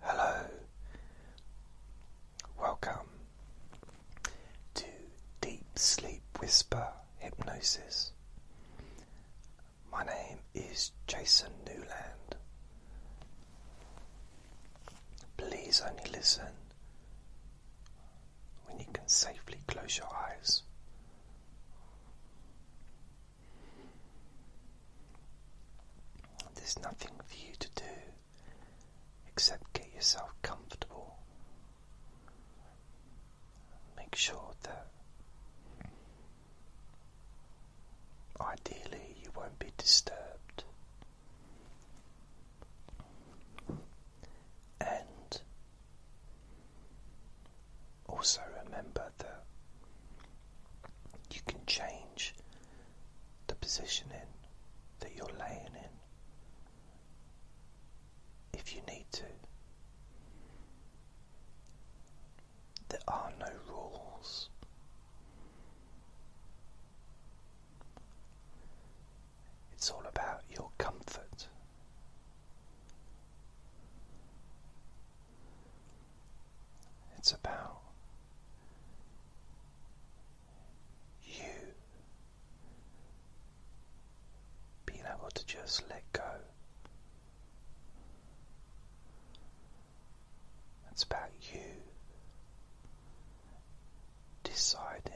Hello, welcome to Deep Sleep Whisper Hypnosis. My name is Jason Newland. Please only listen when you can safely close your eyes. There's nothing for you to do except get yourself comfortable. Make sure that ideally you won't be disturbed. And also remember you can change the position in that you're laying in if you need to. There are no rules. It's all about your comfort. It's about you being able to just let go. It's about you deciding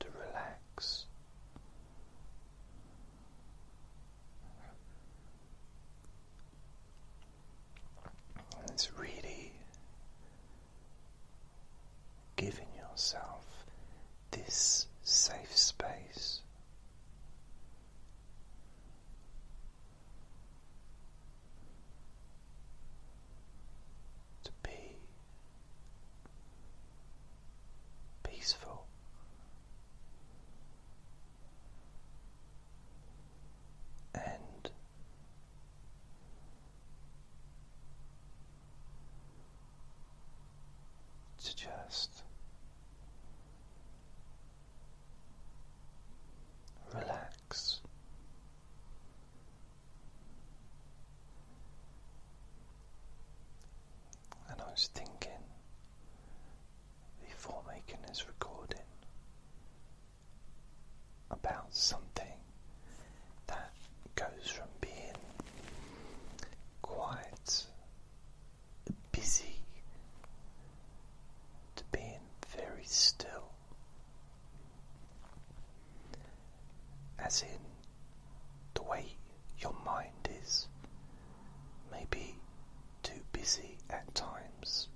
to relax it's really giving yourself this safe space. To be peaceful. And to just relax and I was thinking before making this recording about something that goes from being quite busy to being very still, as in the way your mind is maybe too busy at times,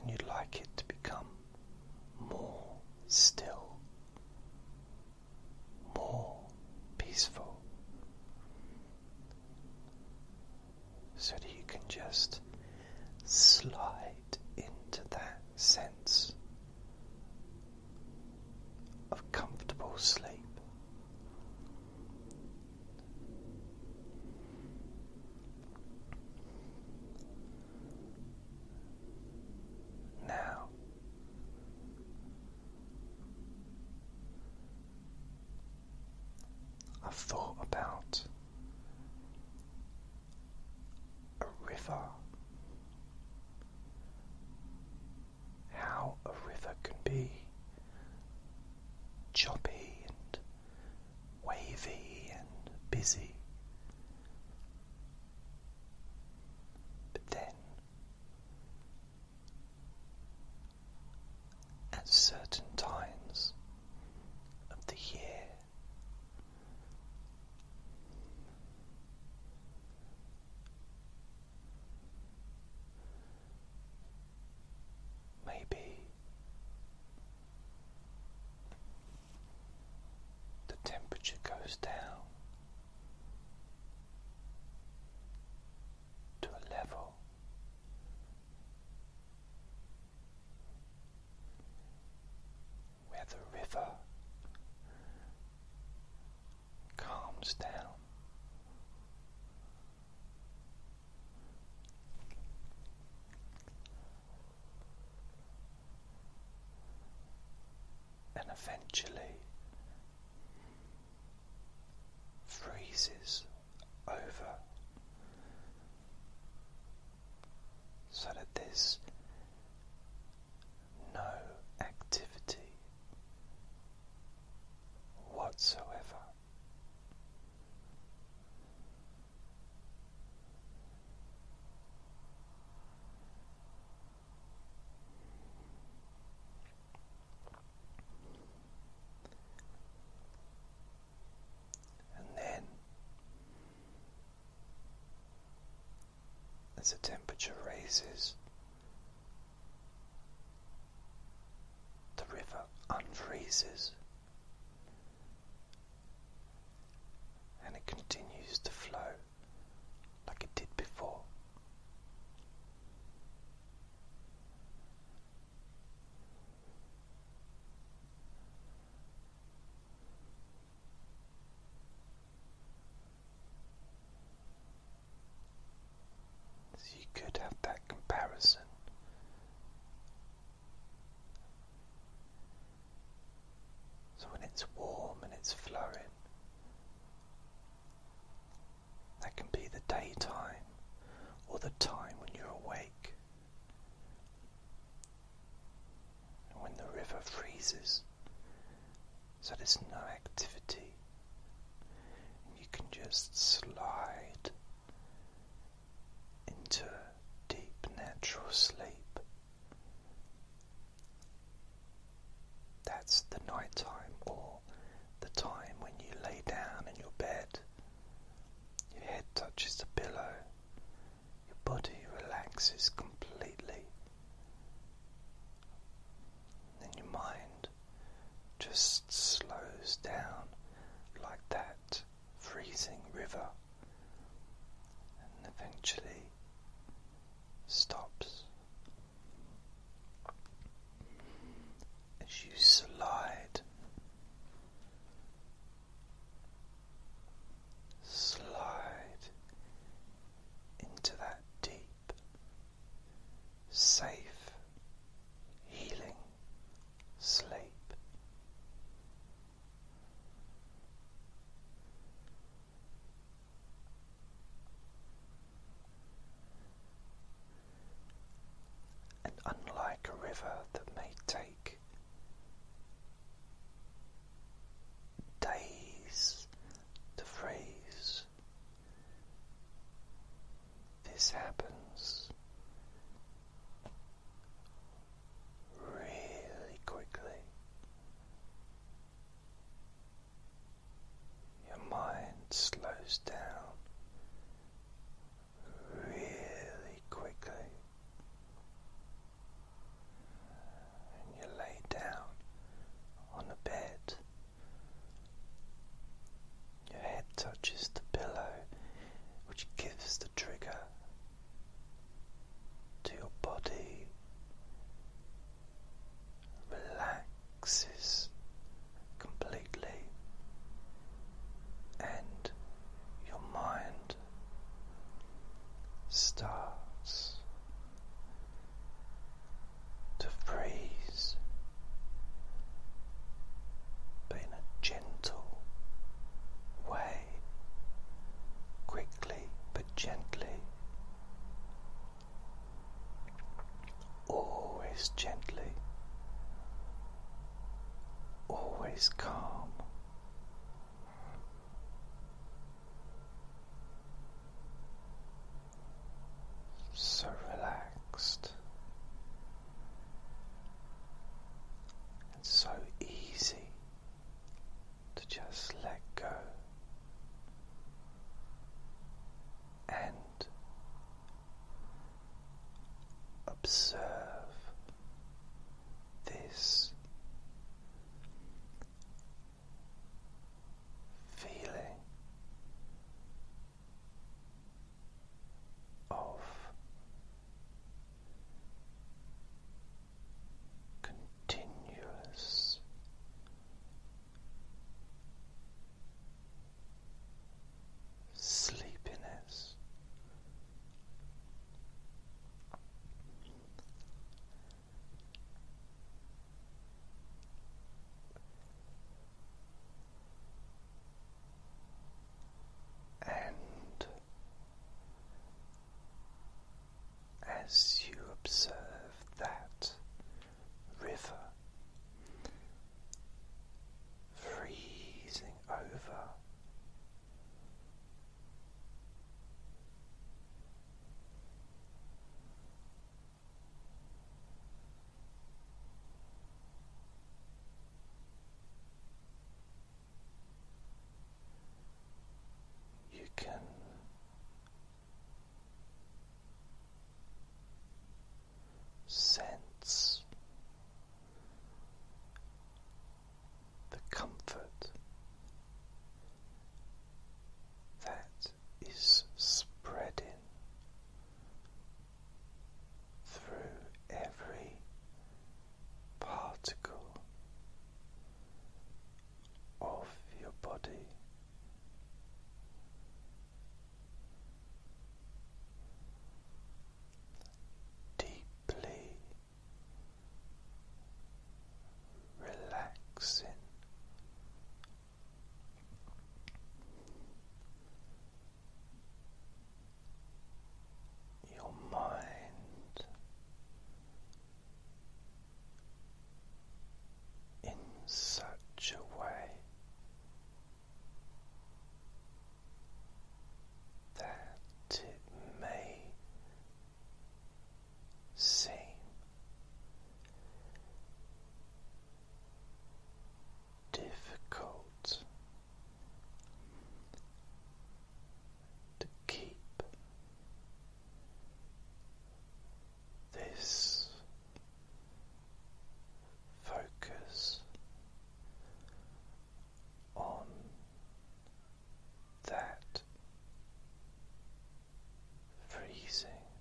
and you'd like it to become more still, more peaceful. So that you can just slide into that sense of comfortable sleep. Now, I've thought about a river how a river can be choppy and wavy and busy. But then, at certain times of the year, Maybe the temperature goes down to a level where the river calms down. And eventually freezes over so that there's no activity whatsoever. And then as the temperature raises, the river unfreezes and it continues to flow like it did before. So you could have that comparison. So when it's warm and it's flowing, that can be the daytime or the time when you're awake when the river freezes, so there's no activity, you can just slide into deep natural sleep. That's the night time or the time when you lay down in your bed. Your head touches the pillow your body relaxes completely. Then your mind just slows down like that freezing river and eventually stops. As you slide slide into that deep, safe, healing sleep. And unlike a river that may take days the phrase. This happens really quickly. Your mind slows down really quickly and you lay down on a bed. Your head touches the pillow, which gives the trigger to your body, relaxes completely, and your mind starts to freeze, but in a gentle way, quickly but gently, always gently, always calm so relaxed and so easy to just let go and observe this feeling of continuous sleepiness. And as you observe that river, freezing over. You can sense the comfort that is spreading through every particle of your body deeply relaxing. Your mind in such a way that it may seem. Difficult to keep this focus on that freezing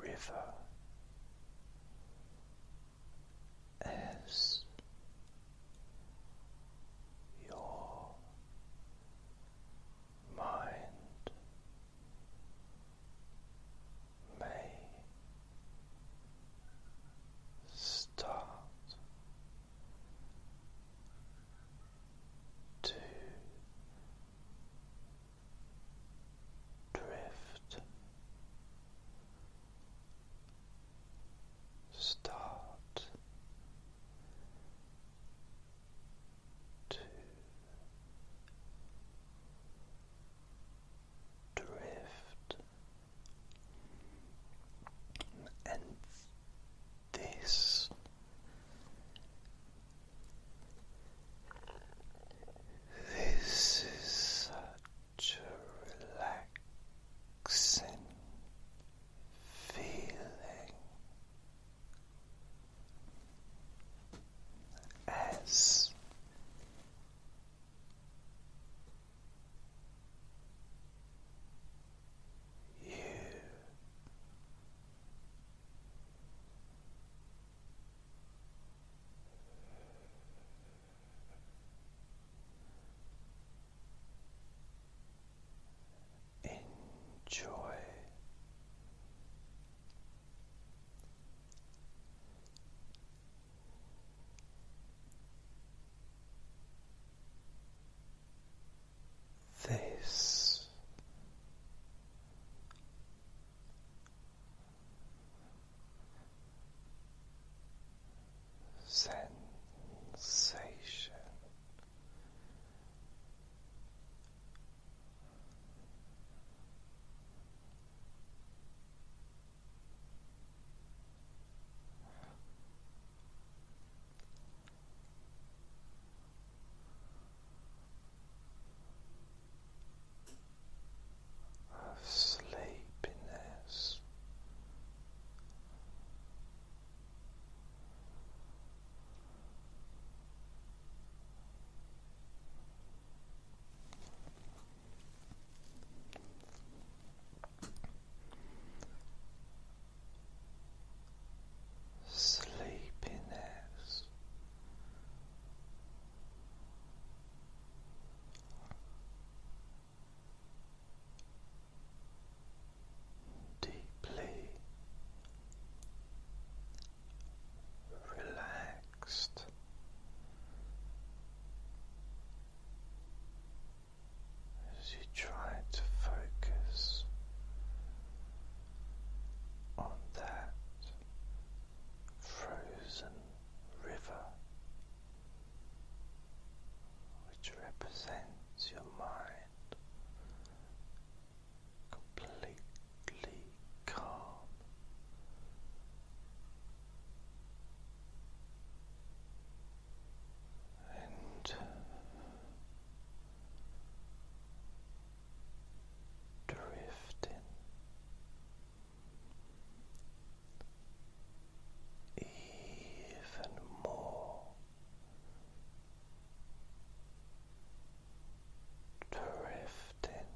river as your mind may start to drift. Start to drift, and this this is such a relaxing feeling as you enjoy this sensation of sleepiness. Sleepiness, deeply relaxed. As you try to focus on that frozen river, which represents your mind completely calm. And uh, drifting even more drifting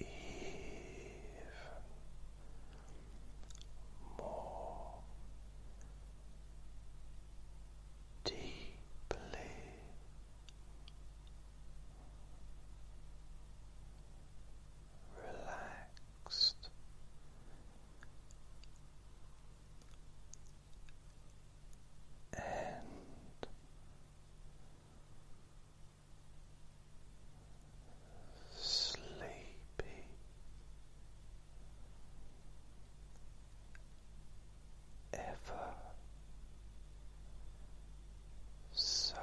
even more deeply. Relaxed and sleepy. Ever so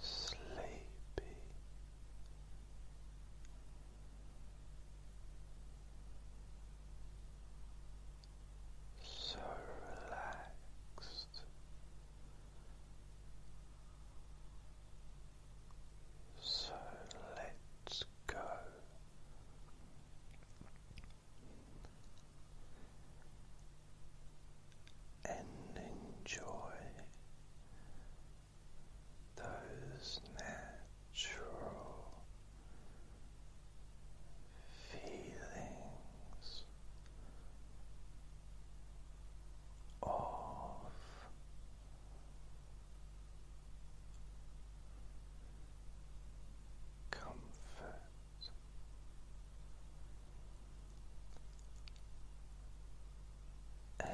sleepy. So relaxed, so let's go and enjoy those natural feelings of comfort and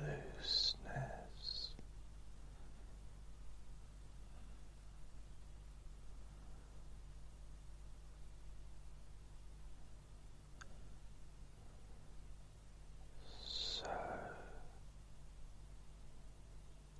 looseness. So lose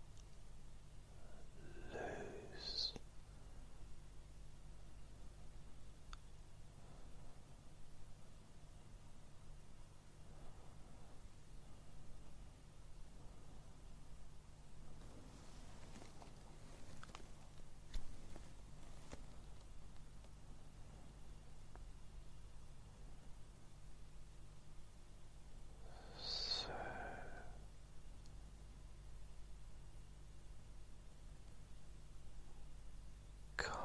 so calm.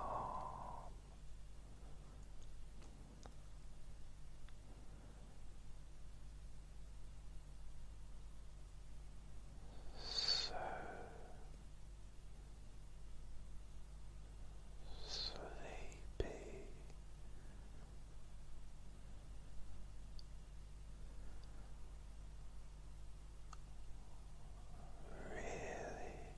So sleepy sleepy. Really, really, really sleepy.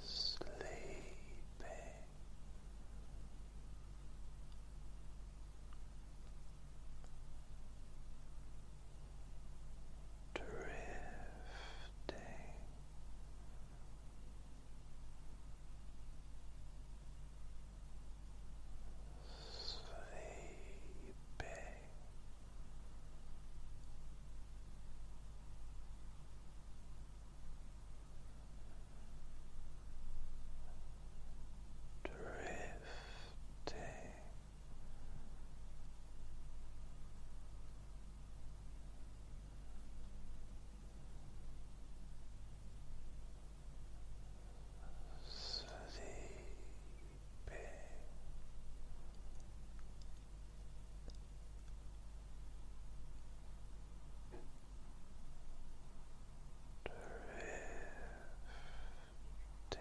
sleeping. Drifting sleeping drifting. Sleep being. Drifting.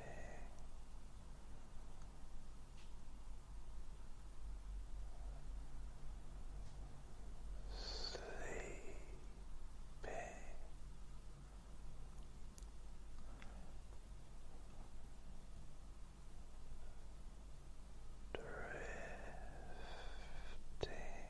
Sleeping Drifting. Sleeping.